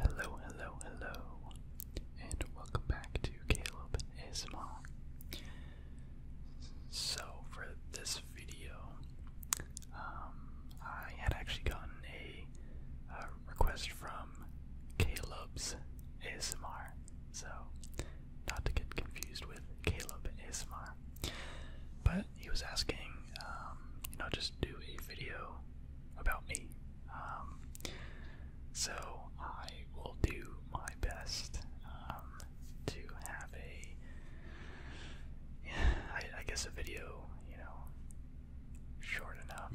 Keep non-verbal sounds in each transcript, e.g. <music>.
Hello, hello, hello, and welcome back to Caleb So, for this video, um, I had actually gotten a request from Caleb's ASMR. So, not to get confused with Caleb ASMR. But he was asking, um, you know, just do a video about me. Um, so, I will do my best um, to have a, I guess, a video, you know, short enough.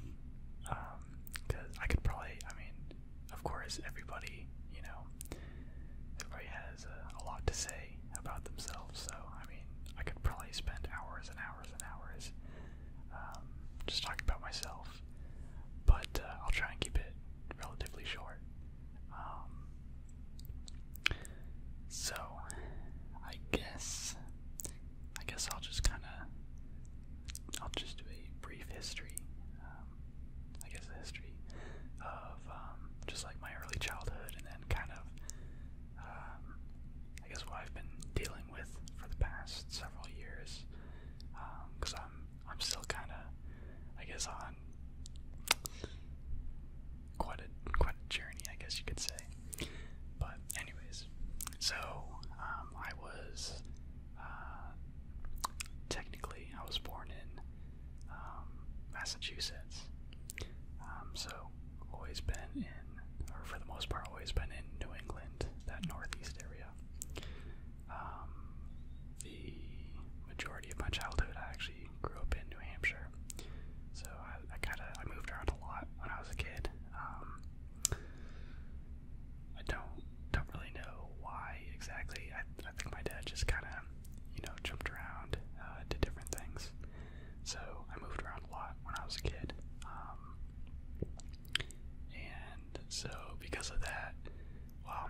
Um, cause I could probably, I mean, of course, everybody, you know, everybody has a, lot to say about themselves. So, I mean, I could probably spend hours and hours and hours um, just talking about myself. But uh, I'll try and keep it relatively short. Um, so, I guess, I guess I'll just kind of I'll just do a brief history, um, I guess a history of um, just like my early childhood and then kind of, um, I guess what I've been dealing with for the past several years, because I'm, I'm still kind of, I guess, on quite a, quite a journey, I guess you could say. But anyways, so um, I was uh, technically I was born in um, Massachusetts. Um, so always been in, or for the most part, always been in New England, that northeast area. Um, the majority of my childhood, I actually grew up in New Hampshire. So I, I kind of I moved around a lot when I was a kid. Um, I don't don't really know why exactly. I, I think my dad just kind of, you know, jumped around, uh, did different things. So I moved around a lot when I was a kid, um, and so because of that, well,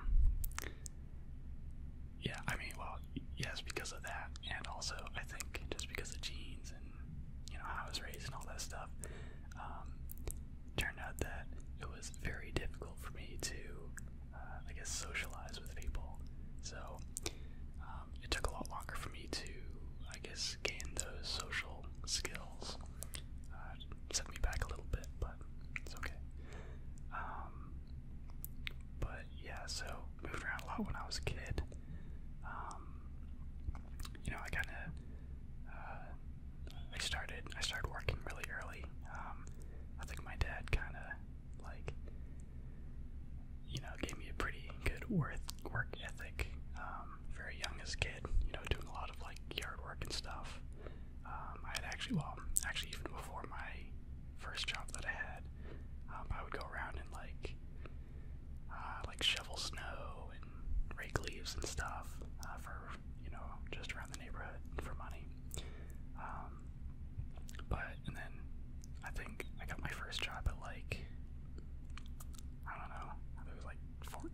yeah, I mean, well, yes, because of that, and also I think just because of genes and you know how I was raised and all that stuff. Um, turned out that it was very difficult for me to, uh, I guess, socialize with people. So um, it took a lot longer for me to, I guess, gain those social skills. Uh, set me back a little bit, but it's okay. Um, but yeah, so moved around a lot when I was a kid you know, I kind of, uh, I started, I started working really early. Um, I think my dad kind of, like, you know, gave me a pretty good worth, work ethic, um, very young as a kid, you know, doing a lot of, like, yard work and stuff. Um, I had actually, well, actually even before my first job that I had, um, I would go around and, like, uh, like shovel snow and rake leaves and stuff uh, for you know just around the neighborhood for money. Um, but and then I think I got my first job at like I don't know I think it was like 14,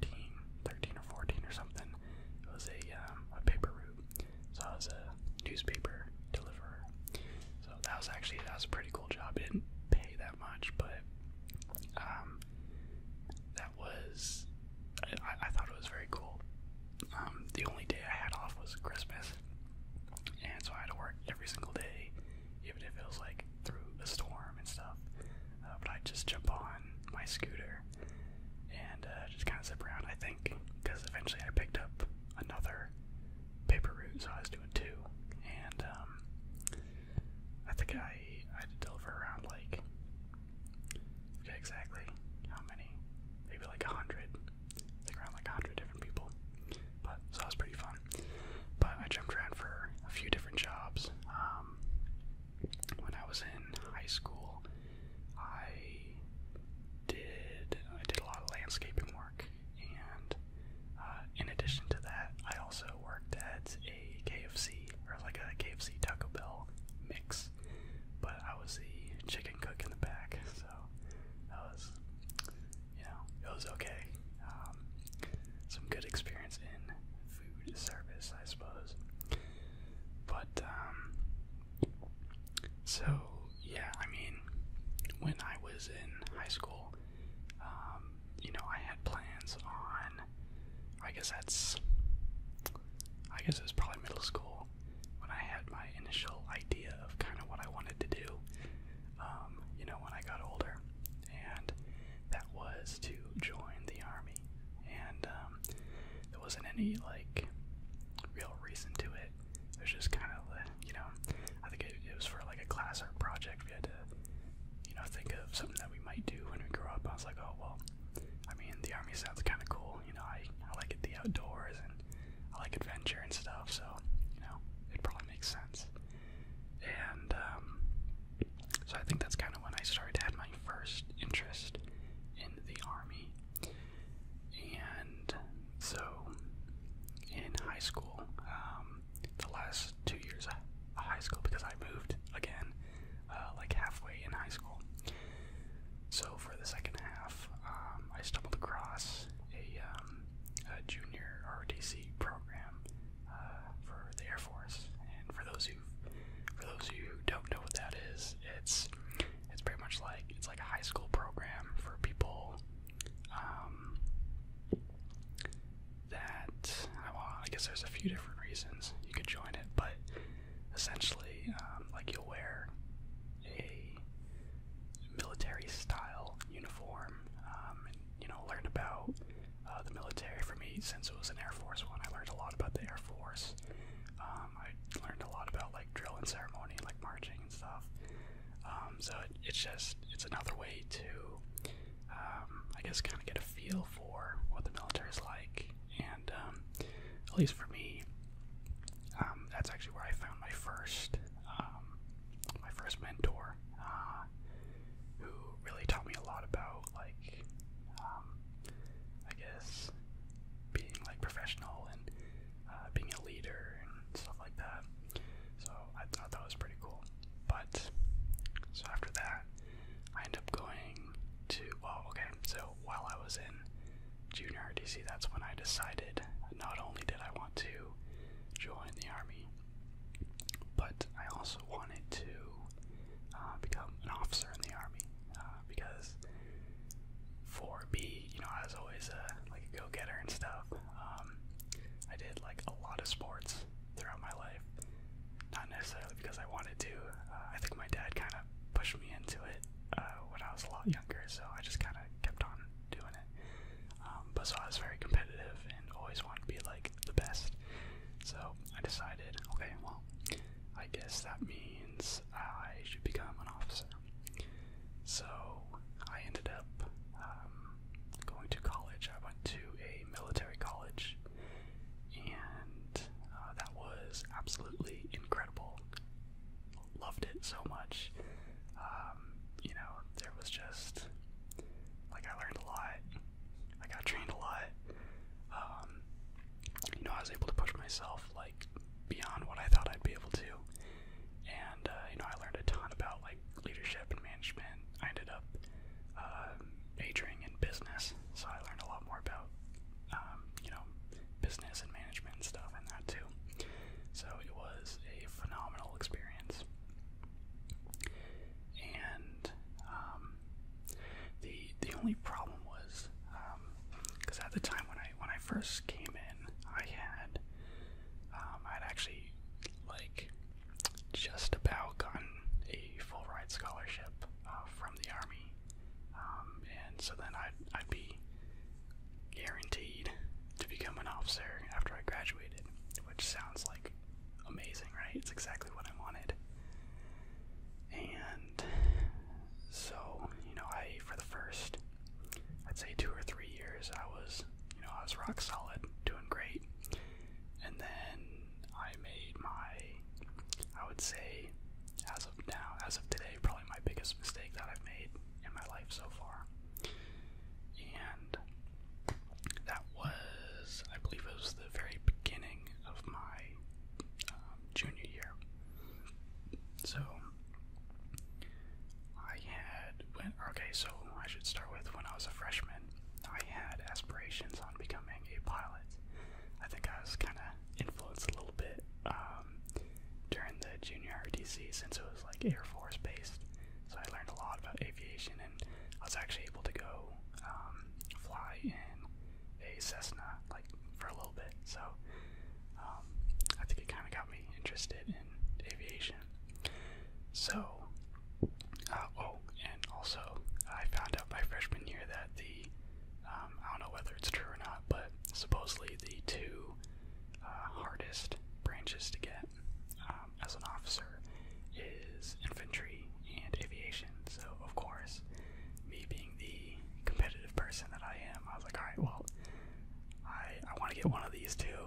13 or 14 or something. It was a um, a paper route, so I was a newspaper deliverer. So that was actually that was a pretty cool job. It didn't pay that much, but um, that was I, thought it was very cool. Um, the only day I had off was Christmas, and so I had to work every single day, even if it was like through a storm and stuff. Uh, but I just jump on my scooter and uh, just kind of zip around. I think because eventually I picked up another paper route, so I was doing two, and um, I think I I had to deliver around like okay, exactly how many? Maybe like a hundred. Like around like a hundred different people. But so that was pretty fun. But I jumped around for a few different jobs. Um, when I was in high school, I did I did a lot of landscaping work, and uh, in addition to that, I also worked at a KFC or like a KFC Taco Bell mix, but I was the chicken cook in the back, so that was, you know, it was okay. Um, some good experience in food service, I suppose. But um, so yeah, I mean, when I was in high school, um, you know, I had plans on. I guess that's. I guess it was probably middle school when I had my initial idea of kind of what I wanted to do, um, you know, when I got older. And that was to join the army. And um, there wasn't any, like, real reason to it. It was just kind of, you know, I think it, was for, like, a class or project. We had to you know, think of something that we might do when we grow up. I was like, oh well, I mean, the army sounds kind of cool. You know, I I like it the outdoors and I like adventure and stuff. So you know, it probably makes sense. And um, so I think that's kind of when I started to have my first interest in the army. And so in high school, um, the last two years of high school because I moved again, uh, like halfway in high school. So for the second half, um, I stumbled across a, um, a junior ROTC program uh, for the Air Force. And for those who, for those who don't know what that is, it's it's pretty much like it's like a high school program for people. Um, that, uh, I guess there's a few different reasons you could join it, but essentially, um, like you'll wear a military style uniform um, and, you know, learn about uh, the military. For me, since it was an Air Force one, I learned a lot about the Air Force. Um, I learned a lot about like drill and ceremony, like marching and stuff. so it's just, it's another way to um, I guess, kind of get a feel for what the military is like. And um, at least for me, um, that's actually where I found my first, my first mentor, uh, who really taught me a lot about, like, I guess, being like professional and uh, being a leader and stuff like that. So I thought that was pretty cool. But so after that, I end up going to, Oh, okay, so while I was in junior RDC, that's when I decided not only did I want to join the army, but I also wanted to uh, become an officer in the army uh, because for B, you know, I was always a like a go-getter and stuff. Um, I did like a lot of sports throughout my life. Not necessarily because I wanted to. Uh, I think my dad kind of pushed me into it uh, when I was a lot younger, so I just kind of kept on doing it. Um, but so I was very competitive and always wanted to be like the best. So I decided, okay, well, I guess that means I should become an officer. So I ended up um, going to college. I went to a military college, and uh, that was absolutely incredible. Loved it so much. Um, you know, there was just like I learned a lot. I got trained a lot. Um, you know, I was able to push myself like beyond what I thought I'd be able to, and uh, you know, I learned a ton about like leadership and management. I ended up uh, majoring in business, so I learned a lot more about um, you know business and management and stuff and that too. So it was a phenomenal experience, and um, the the only problem was because um, at the time when I when I first came in, I had um, I'd actually like just about gotten a full ride scholarship uh, from the army, um, and so then I'd I'd be guaranteed to become an officer after I graduated, which sounds like amazing, right? It's exactly what I wanted. And so, you know, I for the first I'd say two or three years I was you know, I was rock solid, doing great. And then I made my, I would say, as of now, as of today, probably my biggest mistake that I've made in my life so far. And that was, I believe it was the very beginning of my um, junior year. So, I had, when, okay, so I should start with when I was a freshman. I had aspirations on becoming a pilot. I think I was kind of influenced a little bit um, during the junior RTC since it was like Air Force based. So I learned a lot about aviation, and I was actually able to go um, fly in a Cessna like for a little bit. So um, I think it kind of got me interested in aviation. So oh, and also, I found out my freshman year that the, um, I don't know whether it's true or not, but supposedly the two uh, hardest branches to get um, as an officer is infantry and aviation. So, of course, me being the competitive person that I am, I was like, alright, well, I, I want to get one of these two.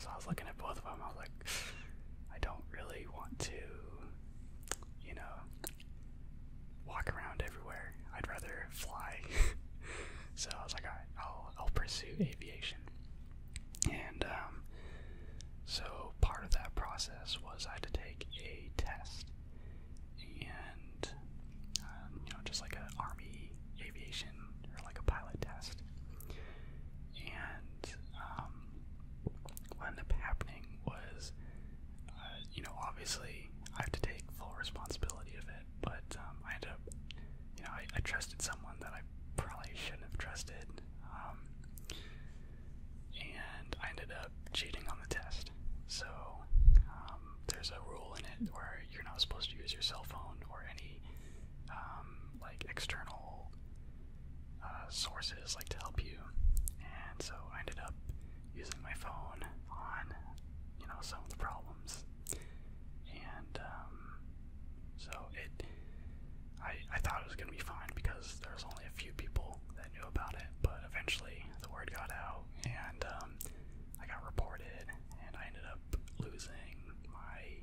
So I was looking at both of them, I was like, I don't really want to you know, walk around everywhere. I'd rather fly. <laughs> so I was like, all right, pursue aviation. And um, so part of that process was I had to take a test. And, um, you know, just like an army aviation or like a pilot test and um, what ended up happening was, uh, you know, obviously I have to take full responsibility of it, but um, I had to, you know, I, I trusted someone that I probably shouldn't have trusted, um, and I ended up cheating on the test. So um, there's a rule in it where you're not supposed to use your cell phone or any um, like external uh, sources like to help you, and so I ended up using my phone on you know some of the problems, and um, so it I I thought it was gonna be fine because there's only a few people that knew about it, but eventually the word got out and um, I got reported, and I ended up losing my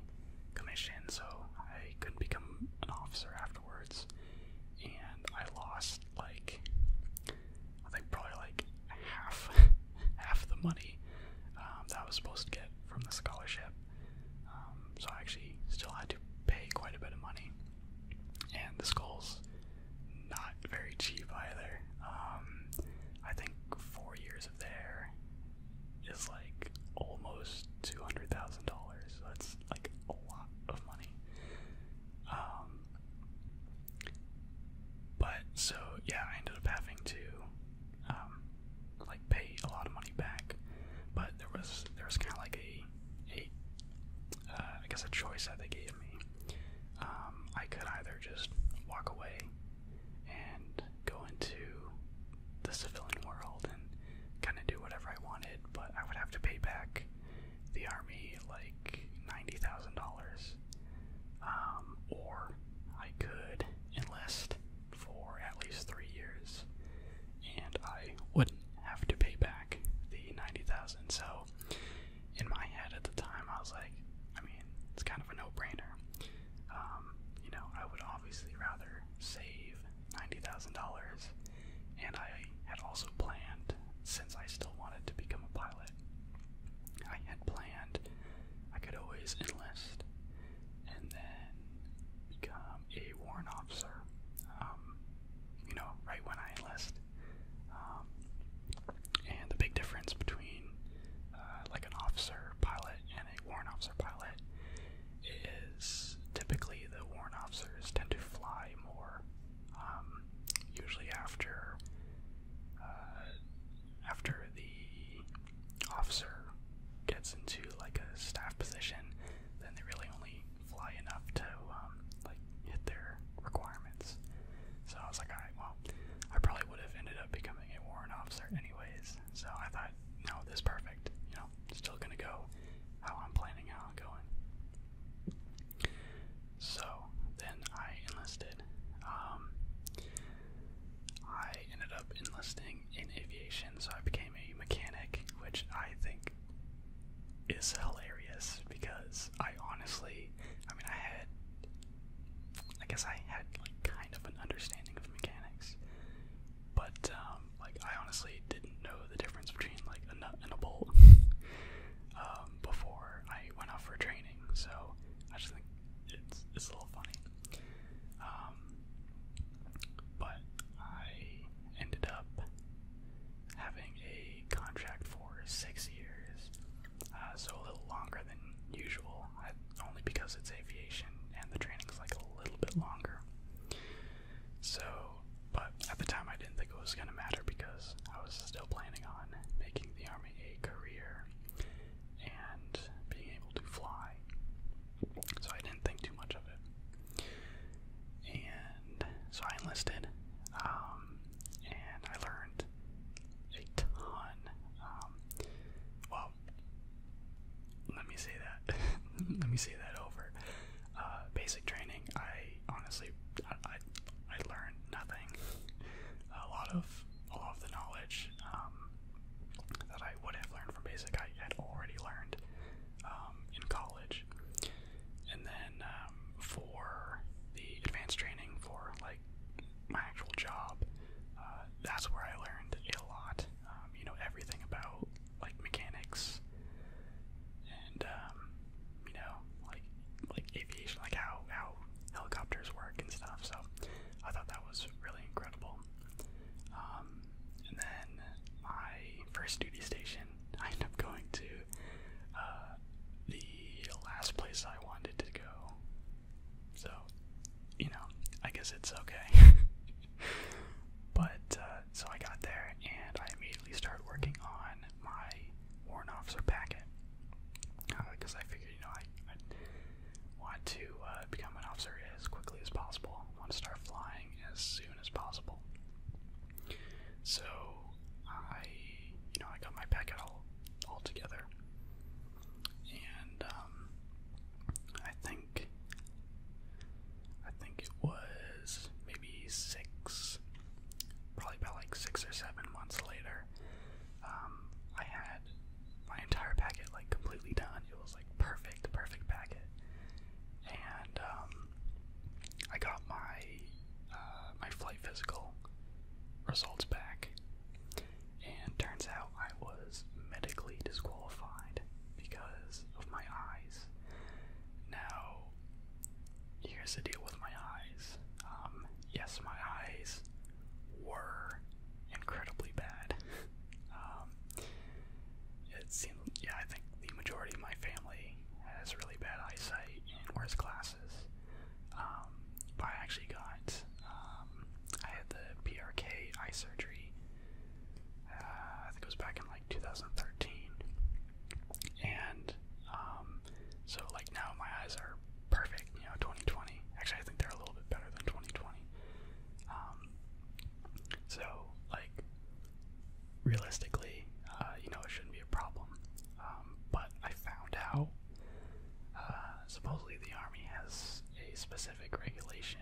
commission, so I couldn't become an officer afterwards and I lost like I think probably like half <laughs> half the money um, that I was supposed to get from the scholarship. Um, so I actually still had to pay quite a bit of money, and the school's not very cheap either. Um, I think four years of there is like almost two hundred thousand dollars like a lot of money. Um, but so yeah, I ended up having to um, like pay a lot of money back. But there was there was kind of like a a uh, I guess a choice that they gave me. Um, I could either just walk away and go into the civilian world and kind of do whatever I wanted, but I would have to pay back the army like $90,000. Um, or I could enlist for at least three years and I wouldn't have to pay back the 90000 So, in my head at the time, I was like, I mean, it's kind of a no brainer. Um, you know, I would obviously rather save $90,000, and I had also planned, since I still wanted to become a pilot, I had planned I could always enlist and then become a warrant officer, um, you know, right when I enlist. Um, and the big difference between uh, like an officer pilot and a warrant officer pilot is typically the warrant officers tend to fly more, um, usually after uh, after the officer gets into like a staff position, then they really only fly enough to um, like hit their requirements. So I was like, all right, well, I probably would have ended up becoming a warrant officer anyways. So I thought, no, this is perfect. You know, still gonna go how I'm planning how I'm going. So then I enlisted. Um, I ended up enlisting in aviation, so I became a mechanic, which I think is hilarious because I honestly, I mean, I had, I guess I had like kind of an understanding of mechanics, but um, like I honestly didn't know the difference between like a nut and a bolt <laughs> um, before I went out for training. So I just think it's it's a little funny. Um, but I ended up having a contract for six years, uh, so a little longer than usual, only because it's aviation and the training's like a little bit longer. So, but at the time I didn't think it was going to matter because I was still planning on making the Army a career and being able to fly. So I didn't think too much of it. And so I enlisted, um, and I learned a ton. Um, well, let me say that. <laughs> Let me say that over. Uh, basic training. I honestly, I, I, learned nothing. A lot of a lot of the knowledge um, that I would have learned from basic, I had already learned um, in college. And then um, for the advanced training for like my actual job, uh, that's where I learned a lot. you know everything about like mechanics and um, you know like like aviation, like how how helicopters work and stuff. So I thought that was really incredible. Um, and then my first duty station, <laughs> I ended up going to uh, the last place I wanted to go. So you know, I guess it's okay. <laughs> but uh, uh, so I got there and I immediately started working on my warrant officer packet because uh, I figured, you know, I, want to uh, become an officer as quickly as possible. want to start flying as soon as possible. So I, you know, I got my packet all all together, and um, I think. I think it was maybe six, probably about like six or seven months later. Um, I had my entire packet like completely done. It was like perfect, perfect packet, and um, I got my uh, my flight physical results back, and turns out I was medically disqualified because of my eyes. Now, here's the deal with my eyes. Um, yes, my eyes were incredibly bad. <laughs> um, it seemed, yeah, I think the majority of my family has really bad eyesight and wears glasses. Um, but I actually got, um, I had the PRK eye surgery. I uh, think it was back in like 2013, and um, so like now my eyes are perfect. You know, 2020. Actually, I think they're a little bit better than 2020. Um, so like realistically, uh, you know, it shouldn't be a problem. Um, but I found out uh, supposedly the army has a specific regulation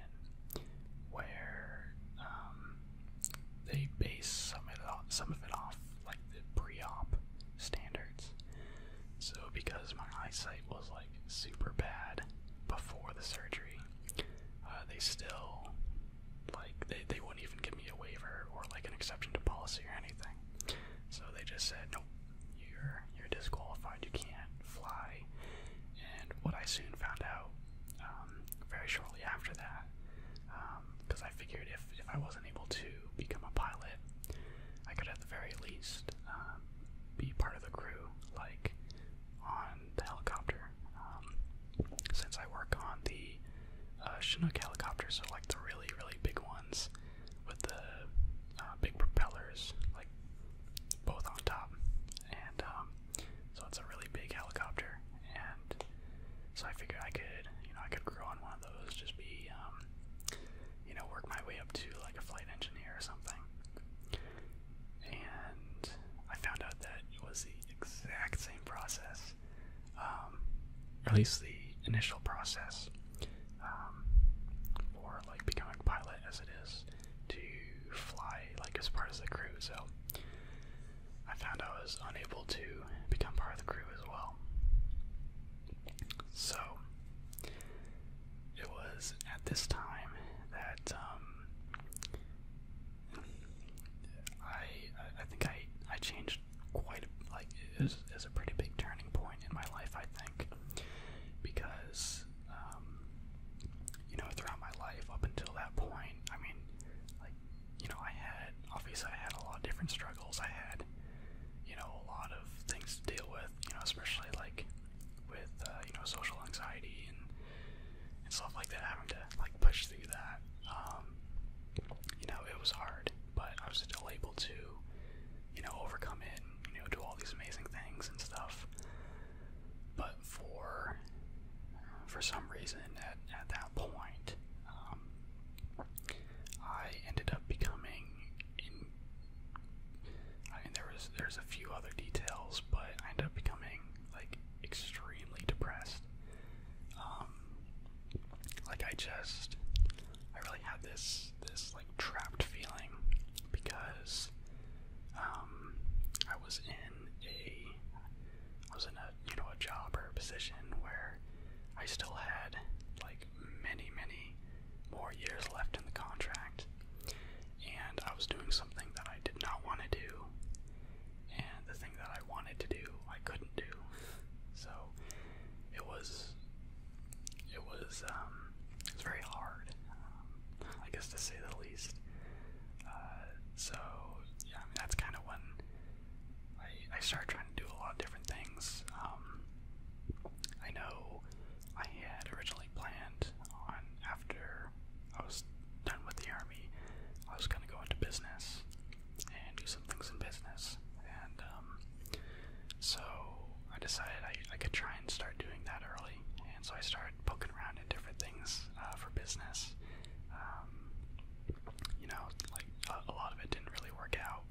where um, they base some of, it off, like the pre-op standards. So because my eyesight was like super bad before the surgery, uh, they still like they, they wouldn't even give me a waiver or like an exception to policy or anything. So they just said nope, you're you're disqualified. You can't fly. And what I soon found out um, very shortly after that because um, I figured if, if I wasn't able to become a pilot, I could at the very least um, be part of the crew, like on the helicopter. since I work on the uh, Chinook helicopters, are like the really, really big ones with the uh, big propellers, like both on top, and so it's a really big helicopter, and so I figured I could, you know, I could grow on one of those, just be, um, you know, work my way up to like a flight engineer or something. And I found out that it was the exact same process, um, at least the initial process um, for like becoming a pilot as it is to fly like as part of the crew, so I found I was unable to become part of the crew as well. So it was at this time that um, I I think I I changed quite a, like it was, a pretty big turning point in my life I think because um, you know, throughout my life up until that point. I mean, like, you know, I had, obviously, I had a lot of different struggles. I had, you know, a lot of things to deal with, you know, especially like with, uh, you know, social anxiety and, and stuff like that, having to, like, push through that. Um, you know, it was hard, but I was still able to, you know, overcome it and, you know, do all these amazing things and stuff. But for for some reason, at, at that point, um, I ended up becoming I mean, there was there's a few other details, but I ended up becoming like extremely depressed. Um, like I just, I really had this this like trapped feeling because um, I was in in a I was in a you know a job or a position where I still had like many many more years left in the contract and I was doing something that I did not want to do and the thing that I wanted to do I couldn't do so it was it was um it was very hard um, I guess to say the least uh, so yeah, I mean that's kind of when I I started trying to do a lot of different things. Um, I know I had originally planned on after I was done with the army, I was gonna go into business and do some things in business, and um, so I decided I I could try and start doing that early, and so I started start poking around at different things uh, for business. Um, you know, like a, a lot of it didn't really work out,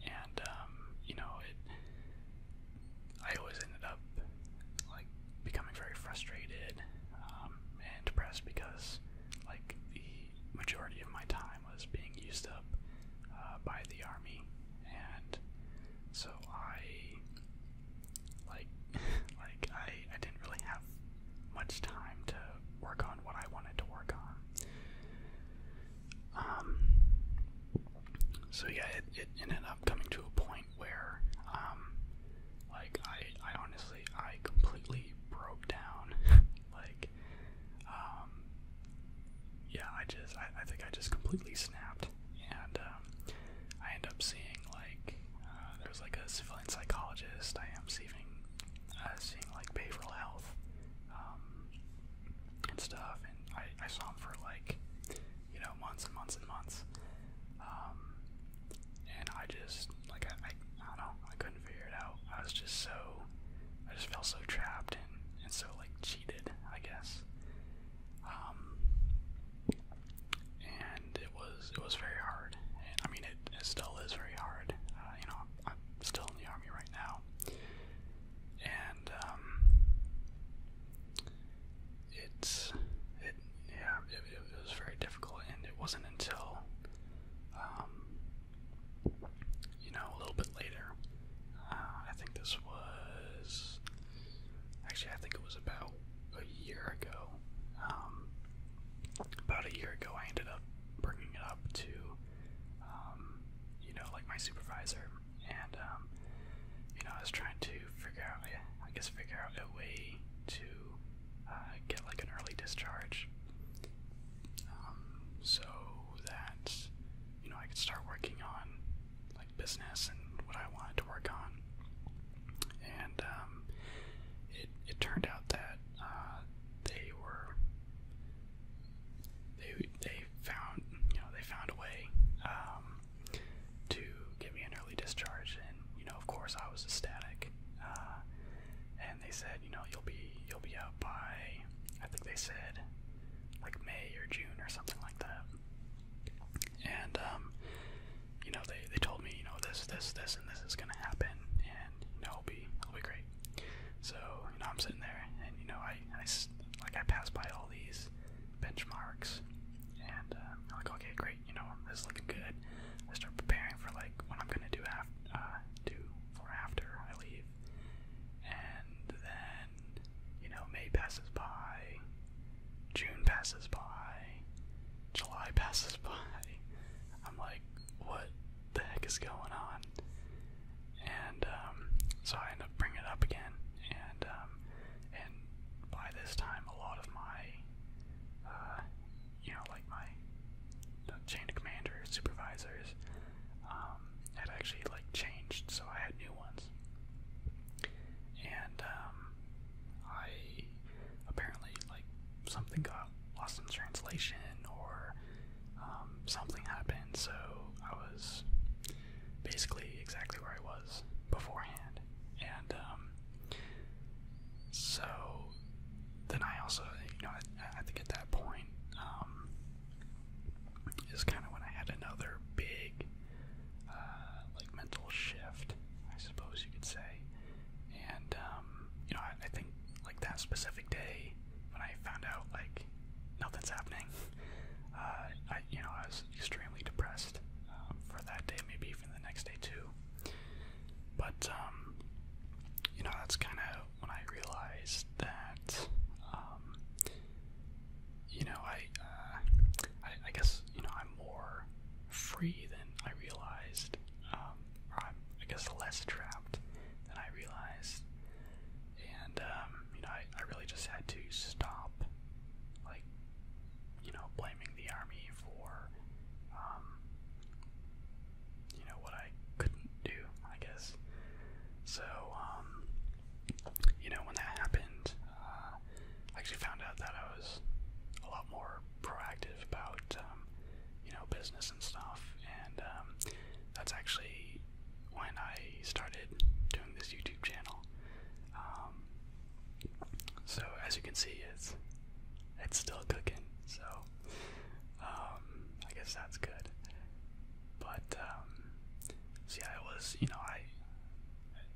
and um, you know, it. I always ended up like becoming very frustrated um, and depressed because, like, the majority of my time was being used up uh, by the army, and so I like <laughs> like I, I didn't really have much time to work on what I wanted to work on. Um, so yeah, it, ended up coming to a point where, um, like I, I honestly, I completely broke down. <laughs> like, um, yeah, I just, I, I think I just completely snapped and um, I end up seeing like uh, there's like a civilian psychologist. I am seeing uh, seeing like behavioral health um, and stuff, and I, I saw him for like you know months and months and months, um, and I just like I, I I don't know I couldn't figure it out. I was just so I just felt so trapped and and so like cheated I guess. Um, and it was it was very hard. And, I mean, it, still is very hard. Uh, you know, I'm, still in the army right now, and um, it's it yeah it, was very difficult. And it wasn't until um, you know a little bit later. Uh, I think this was actually I think it was about a year ago. Um, about a year ago, I ended up bringing it up to, um, you know, like my supervisor, and um, you know, I was trying to figure out, I guess, figure out a way to uh, get like an early discharge, um, so that you know I could start working on like business and what I wanted to work on and um, it it turned out that uh, they were they they found you know they found a way um, to get me an early discharge, and you know of course I was ecstatic. Uh, and they said you know you'll be you'll be out by I think they said like May or June or something like that. And um, you know, they, they told me, you know, this, this, this, and this is gonna happen, and you know, it'll be, it'll be great. So you know, I'm sitting there, and you know, I, I like I pass by all these benchmarks, and uh, I'm like, okay, great, you know, this is looking good. I start preparing for like what I'm gonna do after, uh, do for after I leave, and then you know, May passes by, June passes by, July passes by, I'm like, what the heck is going on? And um, so I end up bringing it up again, and um, and by this time, a lot of my, uh, you know, like my chain commanders, supervisors um, had actually like changed, so I had new ones, and um, I apparently like something got lost in translation or um, something happened, so I was basically exactly where I was beforehand. And um, so then I also, you know, I, I think at that point um, is kind of when I had another big uh, like mental shift, I suppose you could say. And um, you know, I, think like that specific day when I found out like nothing's happening, <laughs> uh, I you know I was extremely depressed um, for that day, maybe even the next day too. But um, you know, that's kind of when I realized that um, you know I, uh, I I guess you know, I'm more free than I realized, um, or i guess, less trapped than I realized. And, um, you know, I, I really just had to stop, like, you know, blaming the army for, um, you know, what I couldn't do, I guess. So, um, you know, when that happened, uh, I actually found out that I was a lot more proactive about, um, you know, business and stuff, and um, that's actually when I started doing this YouTube channel. Um, so as you can see, it's it's still cooking. So I guess that's good. But see, so yeah, I was, you know, I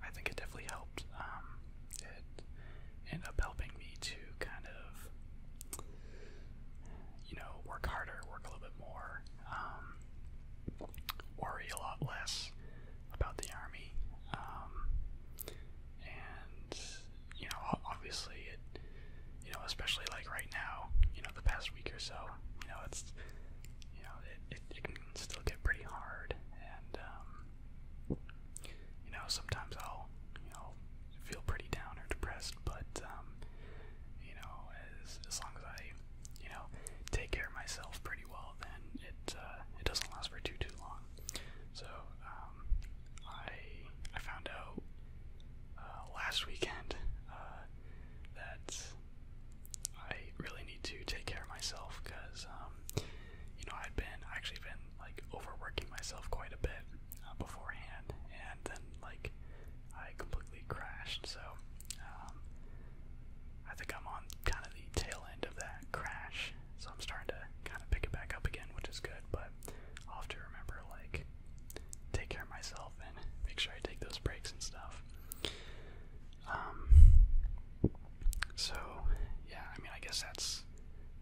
I think it definitely helped. Um, it ended up helping me to kind of, you know, work harder, work a little bit more, um, worry a lot less about the army. Um, and, you know, obviously it, you know, especially like right now, you know, the past week or so, you know, it's, you know, it, it, can still get pretty hard. And, um, you know, sometimes I'll, you know, feel pretty down or depressed, but, um, you know, as, as long as I, you know, take care of myself pretty well, then it, uh, it doesn't last for too, too long. So, um, I, I found out, uh, last weekend, uh, that I really need to take care of myself, because, um, you know, I'd been actually been like overworking myself quite a bit uh, beforehand, and then like I completely crashed. So um, I think I'm on kind of the tail end of that crash, so I'm starting to kind of pick it back up again, which is good. But I'll have to remember like take care of myself and make sure I take those breaks and stuff. Um, so yeah, I mean, I guess that's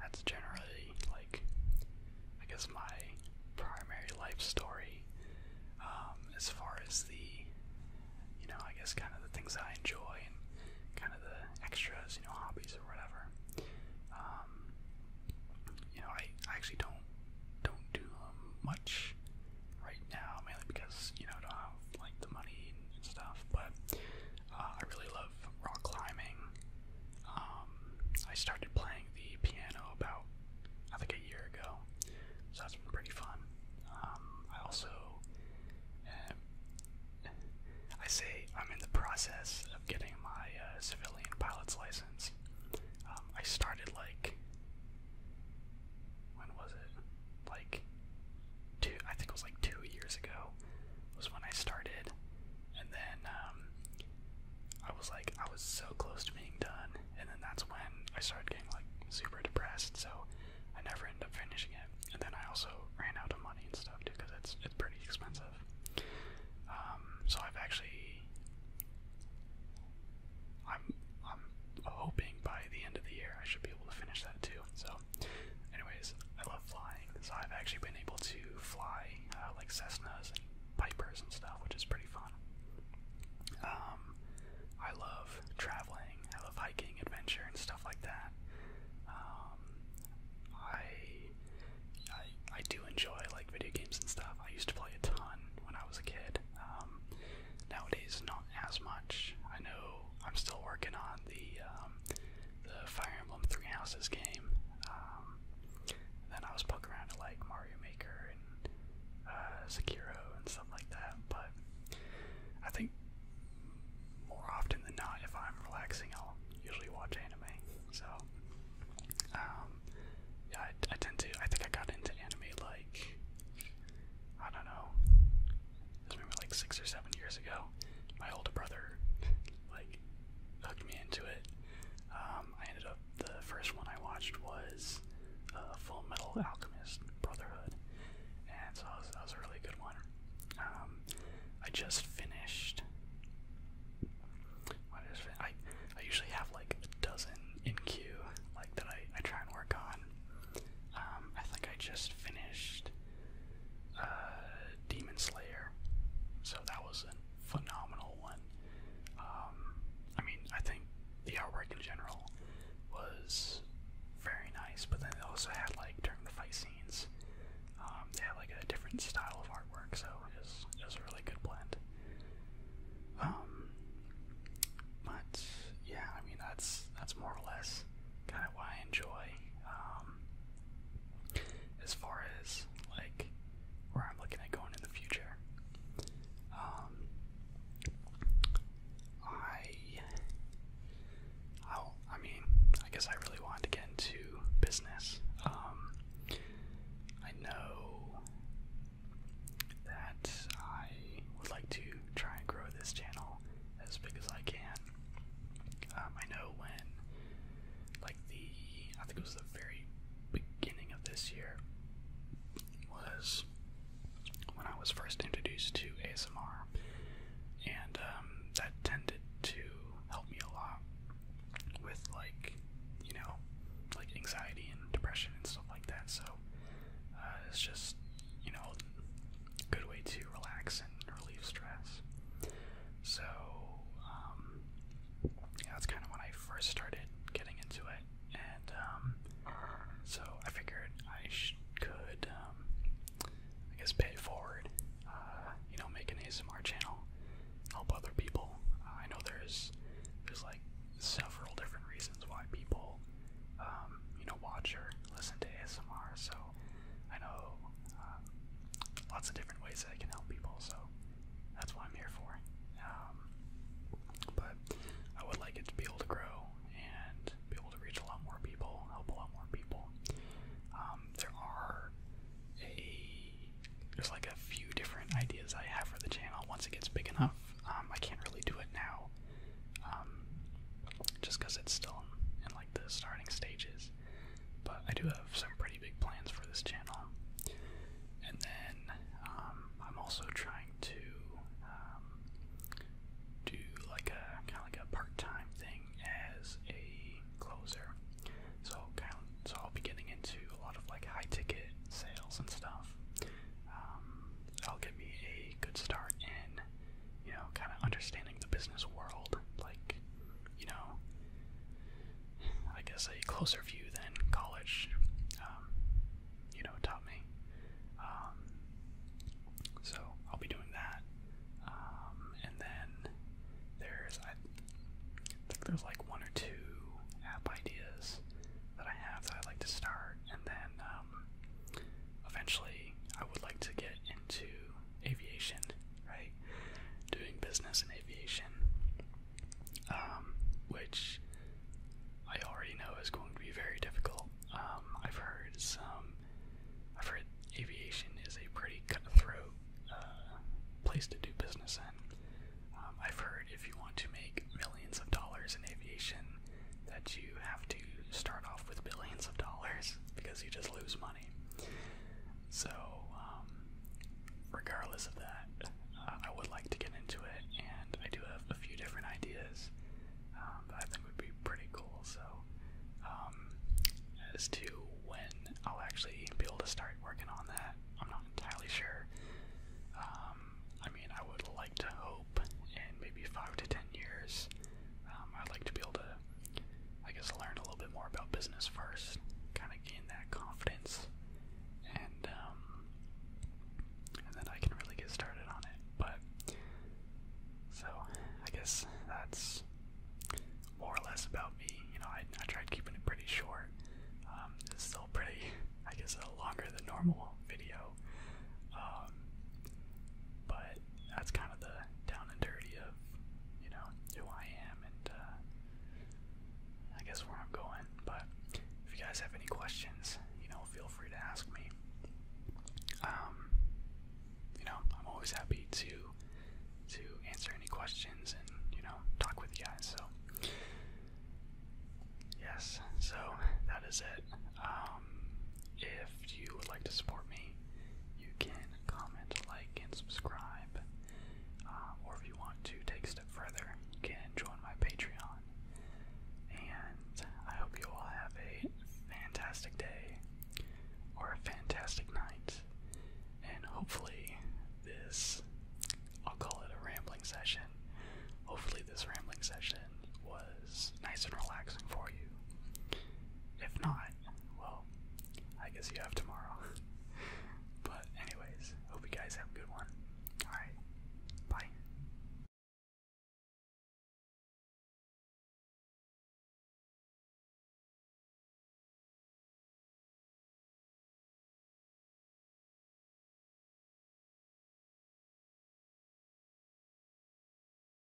that's generally like I guess my primary life story um, as far as the you know I guess kind of the things that I enjoy and kind of the extras, you know, hobbies or whatever. Um, you know, I, I actually don't don't do um, much right now, mainly because you know I don't have like the money and stuff. But uh, I really love rock climbing. Um, I started playing the piano about, I think, a year ago, so that's been pretty fun. Um, I also, uh, I say I'm in the process of getting my uh, civilian pilot's license. Um, I started like, when was it? Like two, I think it was like two years ago, was when I started, and then um, I was like, I was so close to being done, and then that's when I started getting like super depressed, so I never ended up finishing it, and then I also ran out of money and stuff too, because it's it's pretty expensive. Um, so I've actually, I'm I'm hoping by the end of the year I should be able to finish that too. So anyways, I love flying, so I've actually been able to fly uh, like Cessnas and Pipers and stuff, which is pretty fun. Um, I love traveling, I love hiking, adventure, and stuff like that. Um, I, I, do enjoy like video games and stuff. I used to play a ton when I was a kid. Um, nowadays, not as much. I know I'm still working on um, the Fire Emblem Three Houses game. Um, then I was poking around at like Mario Maker and uh, Sekiro and stuff like that. But I think more often than not, if I'm relaxing, I'll usually watch anime. So um, yeah, I, I tend to. I think I got into anime like I don't know. I remember like six or seven years ago, my older brother like hooked me into it. Um, I ended up the first one I watched was uh, Full Metal Alchemist Brotherhood, and so that was, a really good one. Um, I just finished. What is it? I I usually have like a dozen in queue, like that I I try and work on. Um, I think I just finished uh, Demon Slayer. So that was a phenomenal one. Um, I mean, I think the artwork in general was very nice, but then they also had like during the fight scenes, um, they had like a different style of artwork, so it was, it a really good blend. Um, but yeah, I mean that's that's more or less kind I I enjoy. Um, as far as like where I'm looking at going in the future, um, I, I, mean, I guess I really want to get into business. Um, I know that I would like to try and grow this channel as big as I can. Um, I know when, like the, I think it was the very beginning of this year, was when I was first introduced to ASMR, and um, that tended to help me a lot with like, you know, like anxiety and depression and stuff like that. So uh, it's just, you know, good way to relax and relieve stress. So, um, that's kind of when I first started getting into it, and um, so I figured I could, um, I guess, pay forward. Uh, you know, make an ASMR channel, help other people. Uh, I know there's there's like several different reasons why people, you know, watch or listen to ASMR. So I know uh, lots of different ways that I can help people, so that's what I'm here for. Um, but I would like it to be able to grow and be able to reach a lot more people, help a lot more people. Um, there are a there's like a few different ideas I have for the channel once it gets big enough. Um, I can't really do it now, just because it's still in in like the starting stages. But I do have some pretty big plans for this channel. And then um, I'm also trying to um, do like a kind of like a part-time thing as a closer. So kind of, so I'll be getting into a lot of like high-ticket sales and stuff. Um, that'll give me a good start in you know, kind of understanding the business world, like, you know, I guess a closer view than college, um, you know, taught me. Um, so I'll be doing that, um, and then there's I think there's like one or two app ideas that I have that I'd like to start, and then. Uh, um, eventually I would like to get into aviation, right? Doing business in aviation, um, which I already know is going to be very difficult. Um, I've heard some, I've heard aviation is a pretty cutthroat uh, place to do business in. I've heard if you want to make millions of dollars in aviation, that you you have to start off with billions of dollars because you just lose money. So, um, regardless of that, uh, I would like to get into it, and I do have a few different ideas um, that I think would be pretty cool. So, um, as to when I'll actually be able to start working on that, I'm not entirely sure. Um, I mean, I would like to hope in maybe five to ten years um, I'd like to be able to, I guess, learn a little bit more about business first, kind of gain that confidence, and um, and then I can really get started on it. But so I guess that's more or less about me. You know, I, I tried keeping it pretty short. Um, it's still pretty, I guess, a longer than normal video. but that's kind of the down and dirty of, you know, who I am and uh, I guess where I'm going. But if you guys have any questions, you know, feel free to ask me. Um, you know, I'm always happy to to answer any questions and you know talk with you guys. So yes, so that is it. Um, if you would like to support me, you can comment, like, and subscribe. Uh, or if you want to take a step further, you can join my Patreon. And I hope you all have a fantastic day or a fantastic night. And hopefully, this I'll call it a rambling session. Hopefully, this rambling session was nice and relaxing for you. If not, well, I guess you have tomorrow. <laughs> but, anyways, hope you guys have a good one. Alright, bye.